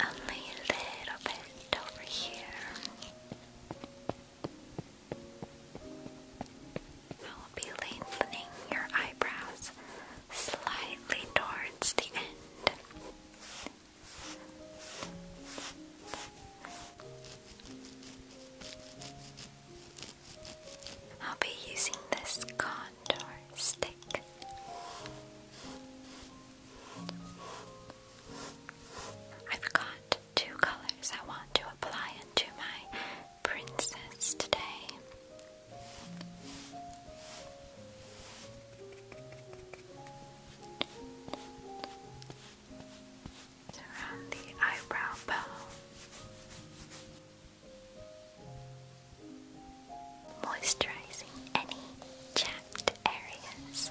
Only a little bit over here. I will be lengthening your eyebrows slightly towards the end. I'll be using this contour stick. I've got two colors I want to apply to my princess today. around the eyebrow bow moisturizing any chapped areas.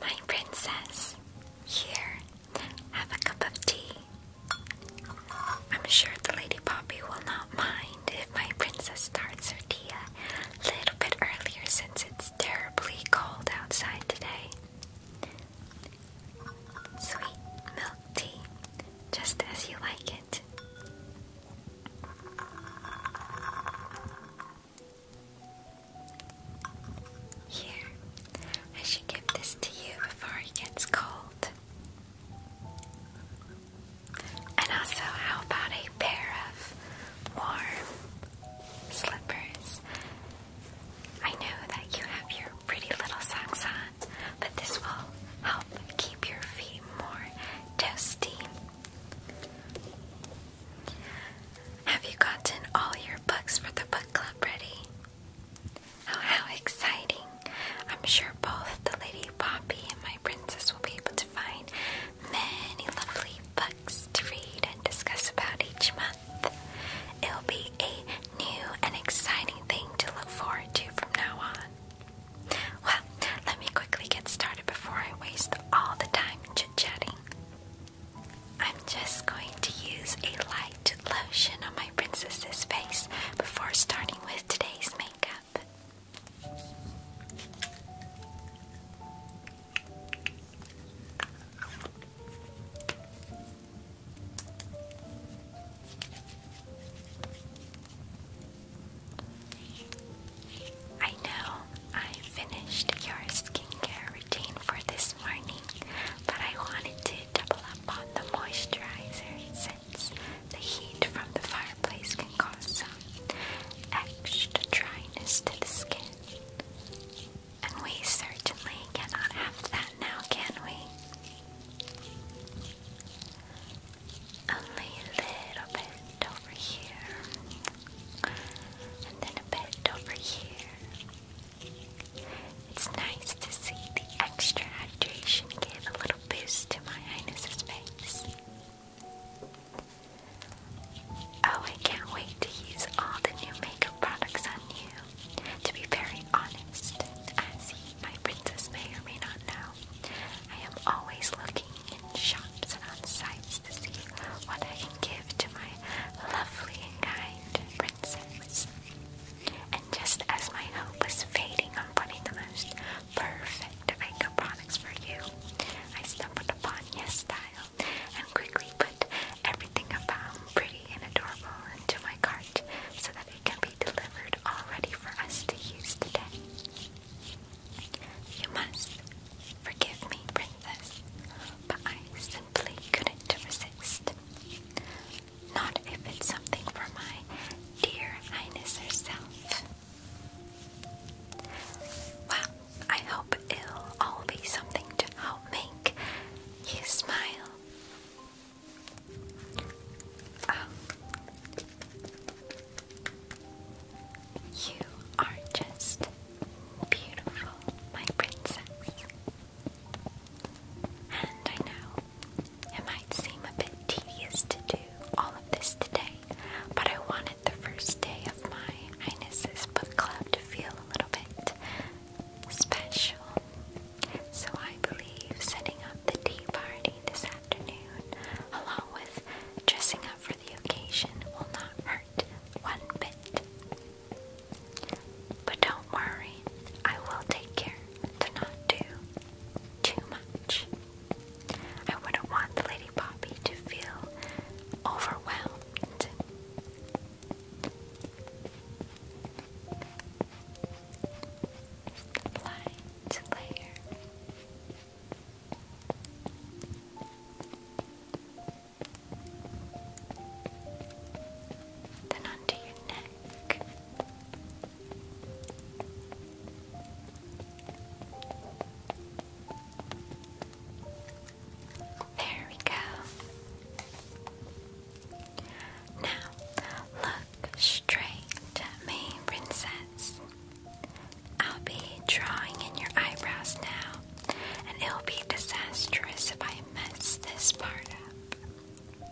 My princess, here, have a cup of tea. I'm sure the Lady Poppy will not mind if my princess starts her tea a little bit earlier since it's terribly cold outside today. Sweet milk tea just as you like it. Here, I should give this to you before it gets cold. And also, how about a pair of warm slippers? I know that you have your pretty little socks on, but this will help keep your feet more toasty. Have you gotten all your books for the book club ready? Oh, how exciting! I'm sure both the Lady Poppy and my princess will be able to find many lovely books to read and discuss about each month. It'll be a new and exciting thing to look forward to from now on. Well, let me quickly get started before I waste all the time chit chatting. I'm just going to use a light lotion on my princess's face before starting with today's makeup. I know I finished your skincare routine for this morning, but I wanted to double up on the moisturizer since the heat from the fireplace can cause some extra dryness to the skin. And we certainly cannot have that now, can we? Only a little bit over here, and then a bit over here. It's nice to see the extra hydration give a little boost to my highness's face. Oh, I can't wait to use all the new makeup products on you. To be very honest, as my princess may or may not know, I am always looking in shops and on sites to see what I can give to my lovely and kind princess. And just as my hope was fading on finding the most perfect makeup products for you, I stumbled upon your Style and quickly put everything I found pretty and adorable into my cart so that it can be delivered all ready for us to use today. You must forgive me, princess, but I simply couldn't resist. Not if it's something for my dear highness herself. Well, I hope it'll all be something to help make you smile you are just beautiful, my princess. And I know it might seem a bit tedious to do all of this today, but I wanted the first day of my Highness's book club to feel a little bit special so I believe setting up the tea party this afternoon, along with dressing up for the occasion, will not hurt one bit. But don't worry, I will take care to not do too much. I wouldn't want the Lady Poppy to feel overwhelmed light layer. Then onto your neck. There we go. Now, look straight at me, princess. I'll be drawing in your eyebrows now, and it'll be disastrous if I mess this part up.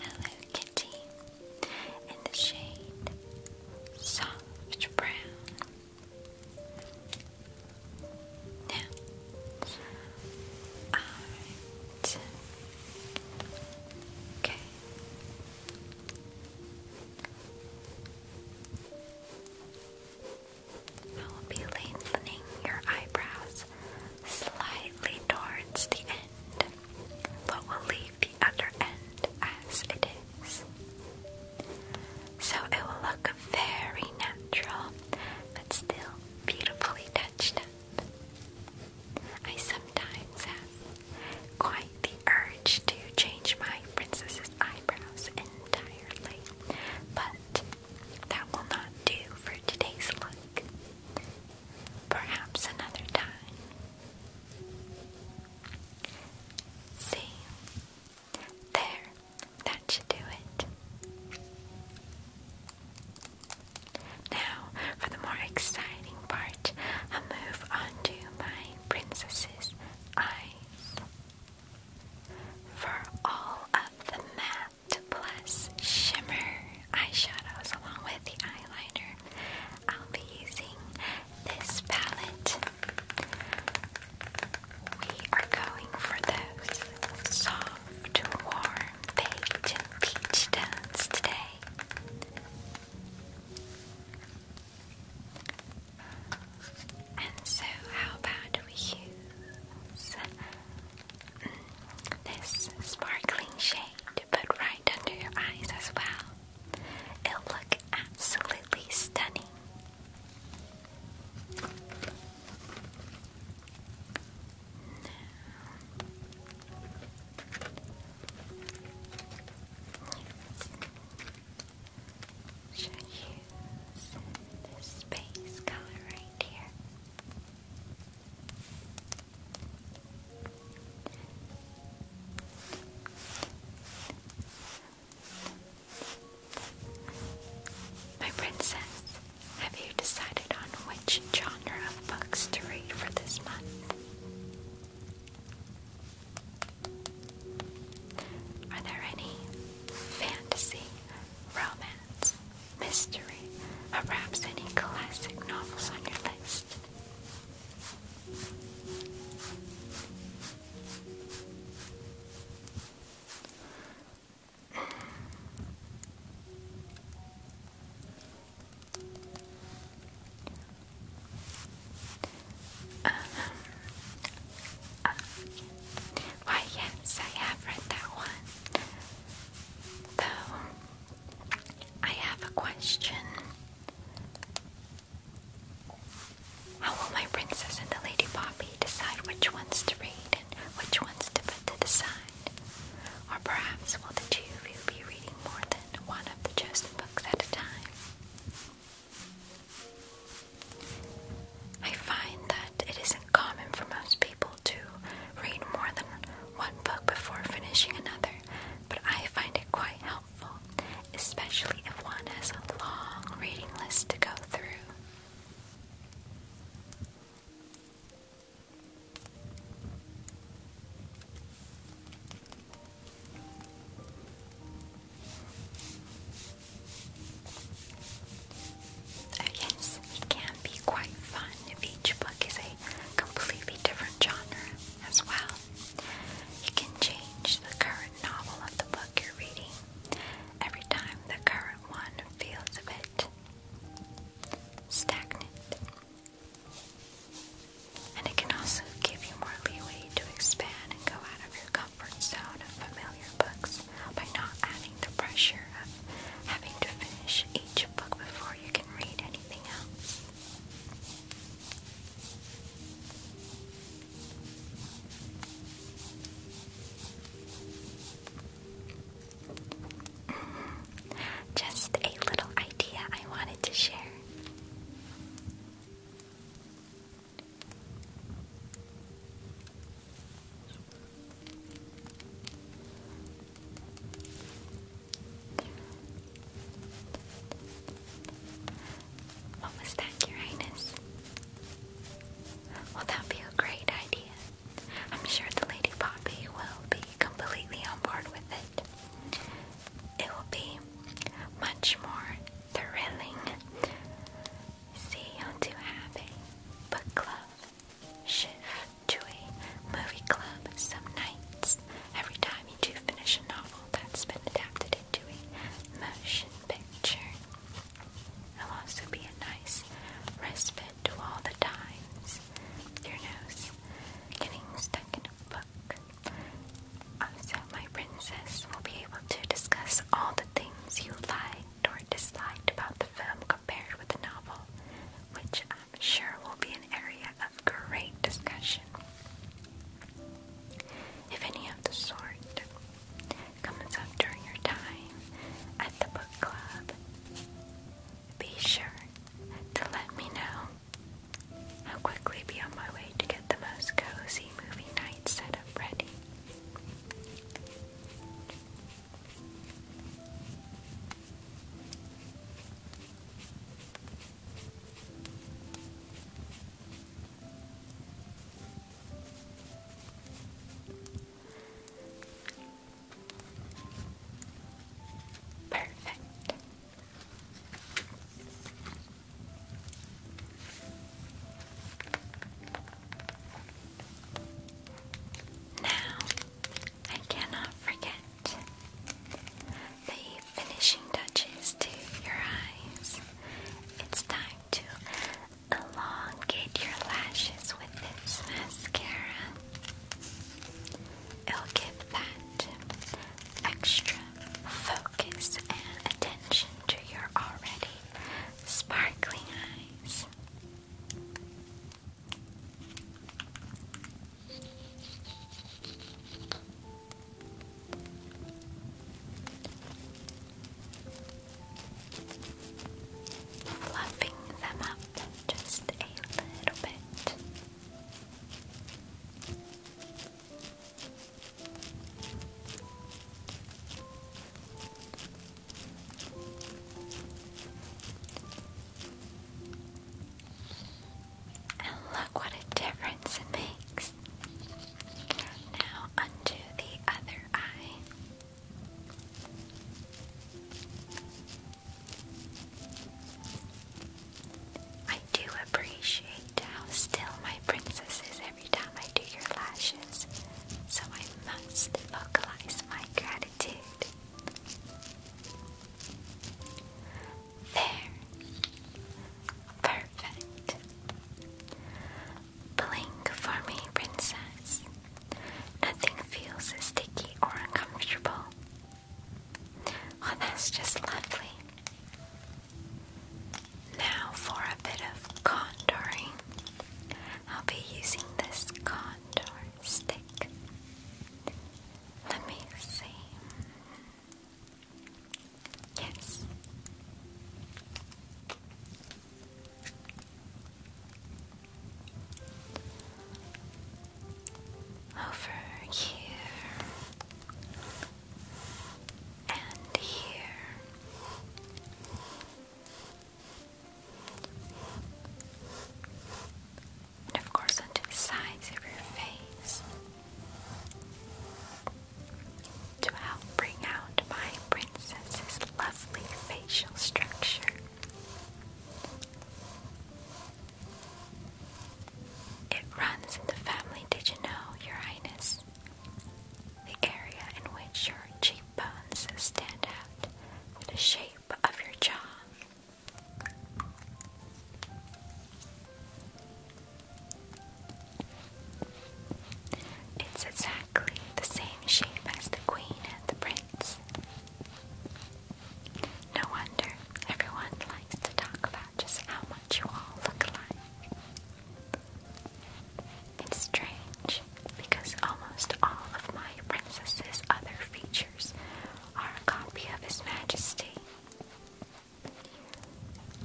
Hello, kitty. In the shade soft brown. I will be lengthening your eyebrows slightly towards the end, but we'll leave the other end as it is. So it will look very natural but still beautifully touched up. I sometimes have quite the urge to change my princess's eyebrows entirely, but that will not do for today's look. Perhaps another time. See, there that should do it. Now, for the more exciting part, i move on to my princess's eyes. For all of the matte plus shimmer eyeshadows along with the eyeliner, I'll be using this palette. We are going for those soft, warm, baked peach tones today. And so, how about we use this sparkling shade to put right under your eyes as well? It'll look absolutely stunning. Should use this base color right here. My princess, have you decided on which genre of books to read for this month? Are there any fantasy, romance, mystery, or perhaps any classic novels on your list? why, yes, I have read that one. Though, I have a question. How will my princess and the lady Poppy decide which ones to read? which ones to put to the side. Or perhaps will the two of you be reading more than one of the chosen books at a time? I find that it isn't common for most people to read more than one book before finishing another, but I find it quite helpful, especially if one has a long reading list to go through. Oh yes, it can be quite fun if each book is a completely different genre as well. You can change the current novel of the book you're reading every time the current one feels a bit stagnant. And it can also give you more leeway to expand and go out of your comfort zone of familiar books by not adding the pressure of having to finish each book before you can read anything else. Just a little idea I wanted to share. What was that, Uranus? Well, that be a great idea. I'm sure the Lady Poppy will be completely on board with it. It will be much more thrilling. See you to have a book club shift to a movie club some nights. Every time you do finish a novel that's been adapted into a motion picture will also be a nice respite to all the times your nose getting stuck in a book. Also, my princess will be able to discuss all the things you liked or disliked about the film compared with the novel, which I'm sure will be an area of great discussion. If any of the sort comes up during your time at the book club, be sure to let me know. I'll quickly be on my way to get the most cozy movie night set up ready. Perfect. Now, I cannot forget the finishing touches to your eyes. It's time to elongate your lashes with this mascara. It'll give that extra focus and attention to your already sparkling eyes. Fluffing them up just a little bit. And look what a difference it makes. Now, undo the other eye. I do appreciate how still my princess is every time I do your lashes, so I must vocalize my gratitude. There. Perfect. Blink for me, princess. Nothing feels sticky or uncomfortable. Oh, that's just lovely. Now for a bit of contouring. I'll be using this contour stick. Let me see. Yes. Over here and here. And of course, onto the sides of your face to help bring out my princess's lovely facial structure. It runs in the family, did you know, Your Highness? The area in which your cheekbones stand out the shape of your jaw. It's exactly the same shape as the Queen and the Prince. No wonder everyone likes to talk about just how much you all look alike. It's strange because almost all of my princess's other features are a copy of His Majesty.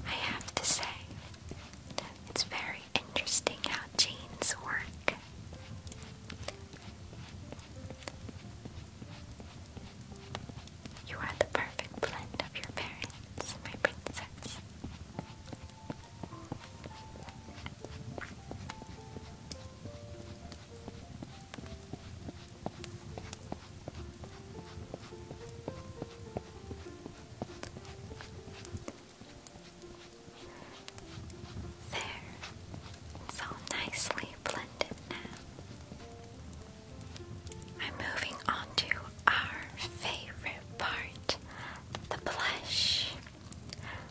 I have to say, it's very interesting how chains work. You are the perfect blend of your parents, my princess. There, it's all nicely blended now. I'm moving on to our favorite part the blush.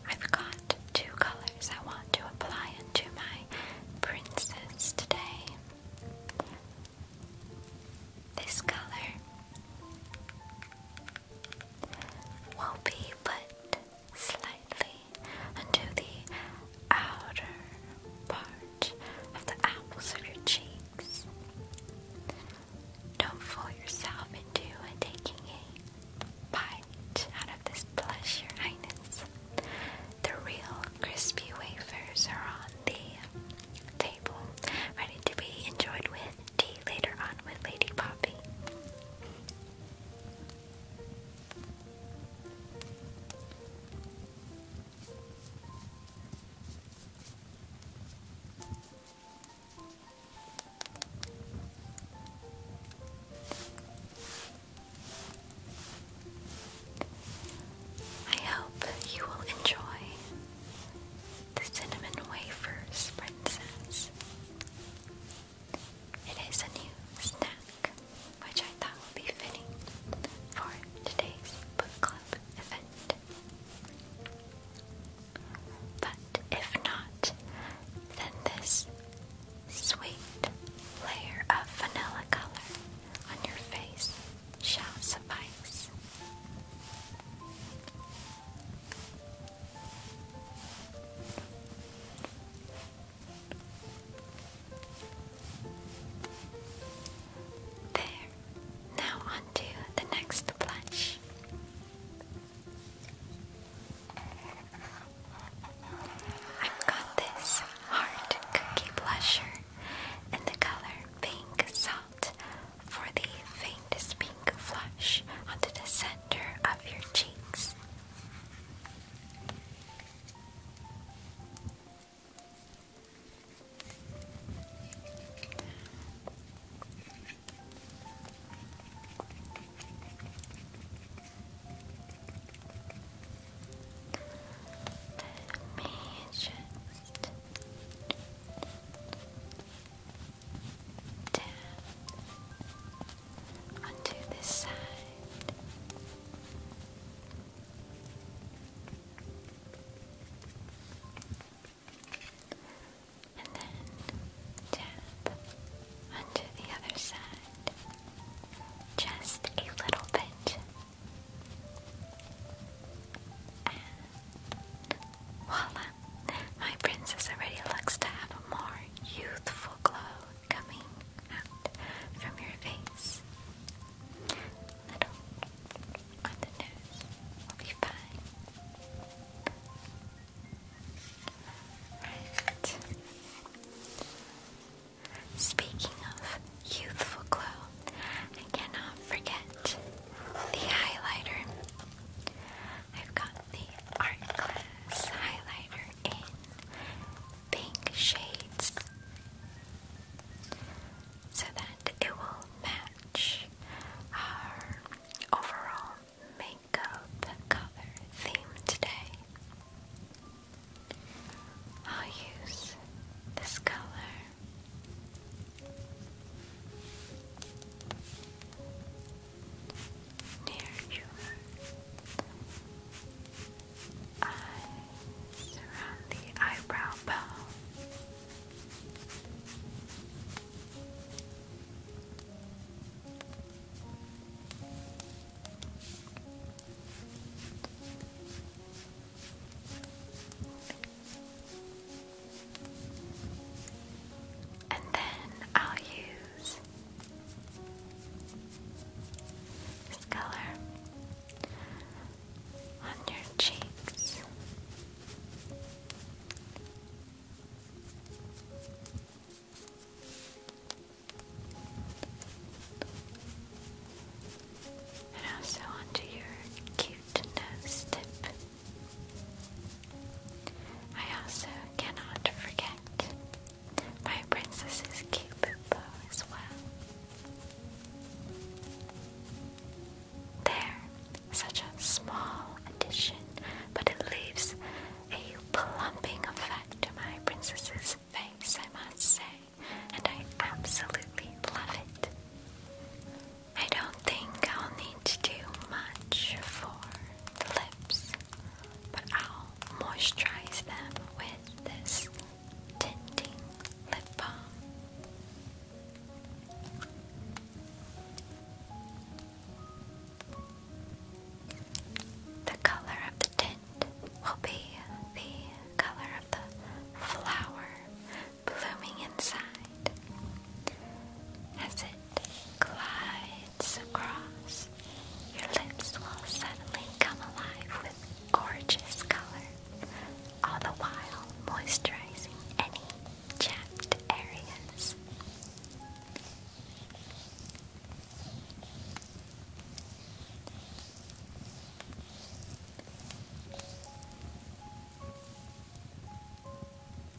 I've got two colors I want to apply into my princess today. This color will be put slightly into the outer part of the apples of your cheeks. Don't fool yourself into taking a bite out of this pleasure, Your Highness. The real crispy wafers are on the table, ready to be enjoyed with tea later on with Lady Poppy. I hope you will enjoy the cinnamon wafers, princess. It is a new snack, which I thought would be fitting for today's book club event. But if not, then this sweet layer of vanilla color on your face shall suffice. There. Now on the next blush. I've got this hard cookie blusher in the color pink soft for the faintest pink flush onto the center of your cheeks. Let down onto this side. And then tap onto the other side. Just a little bit. Voila! My princess already looks to have a more youthful glow coming out from your face. Little on the nose will be fine. Right. Speaking of youthful glow, I cannot forget the highlighter. I've got the Art Glass highlighter in pink shades so that it will match our overall makeup color theme today. I'll use this color Near your eyes, around the eyebrow bone. And then I'll use this color on your cheeks and also onto your cute nose tip. I also cannot forget my princess's cupid bow as well. There, such a small addition, but it leaves a plumping effect to my princess's face, I must say, and I absolutely love it. I don't think I'll need to do much for the lips, but I'll moisturize them with this tinting lip balm. The color of the tint will be the color of the flower blooming inside as it glides across. Your lips will suddenly come alive with gorgeous color, all the while moisturizing any chapped areas.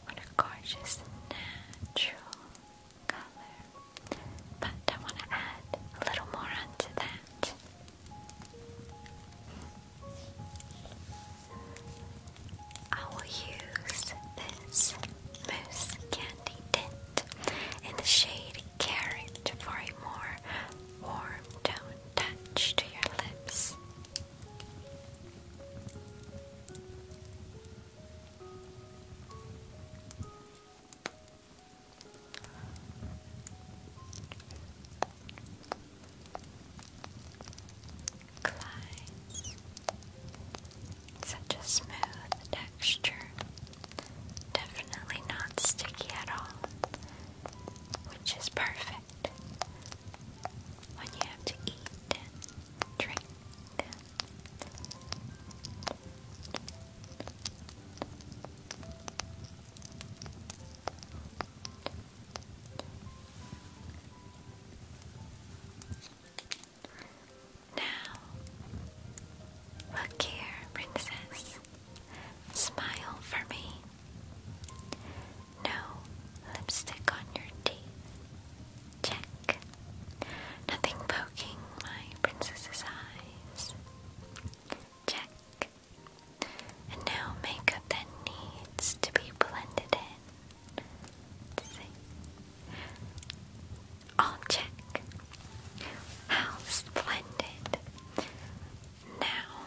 What a gorgeous natural color. But I want to add a little more onto that. I will use this mousse candy tint in the shade Carrot for a more warm tone touch to your lips. Such a smooth texture. Definitely not sticky at all, which is perfect good when you have to eat and drink. Now, look here, princess. Smile for me. No lipstick on your teeth. Check. Nothing poking my princess's eyes. Check. And no makeup that needs to be blended in. All check. How splendid. Now,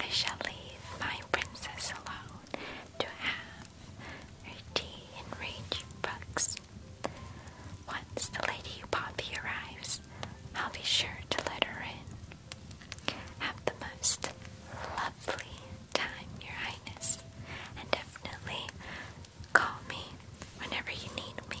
I shall leave my princess alone to have her tea and read books. Once the lady Poppy arrives, I'll be sure to let her in. Have the most lovely time, Your Highness, and definitely call me whenever you need me.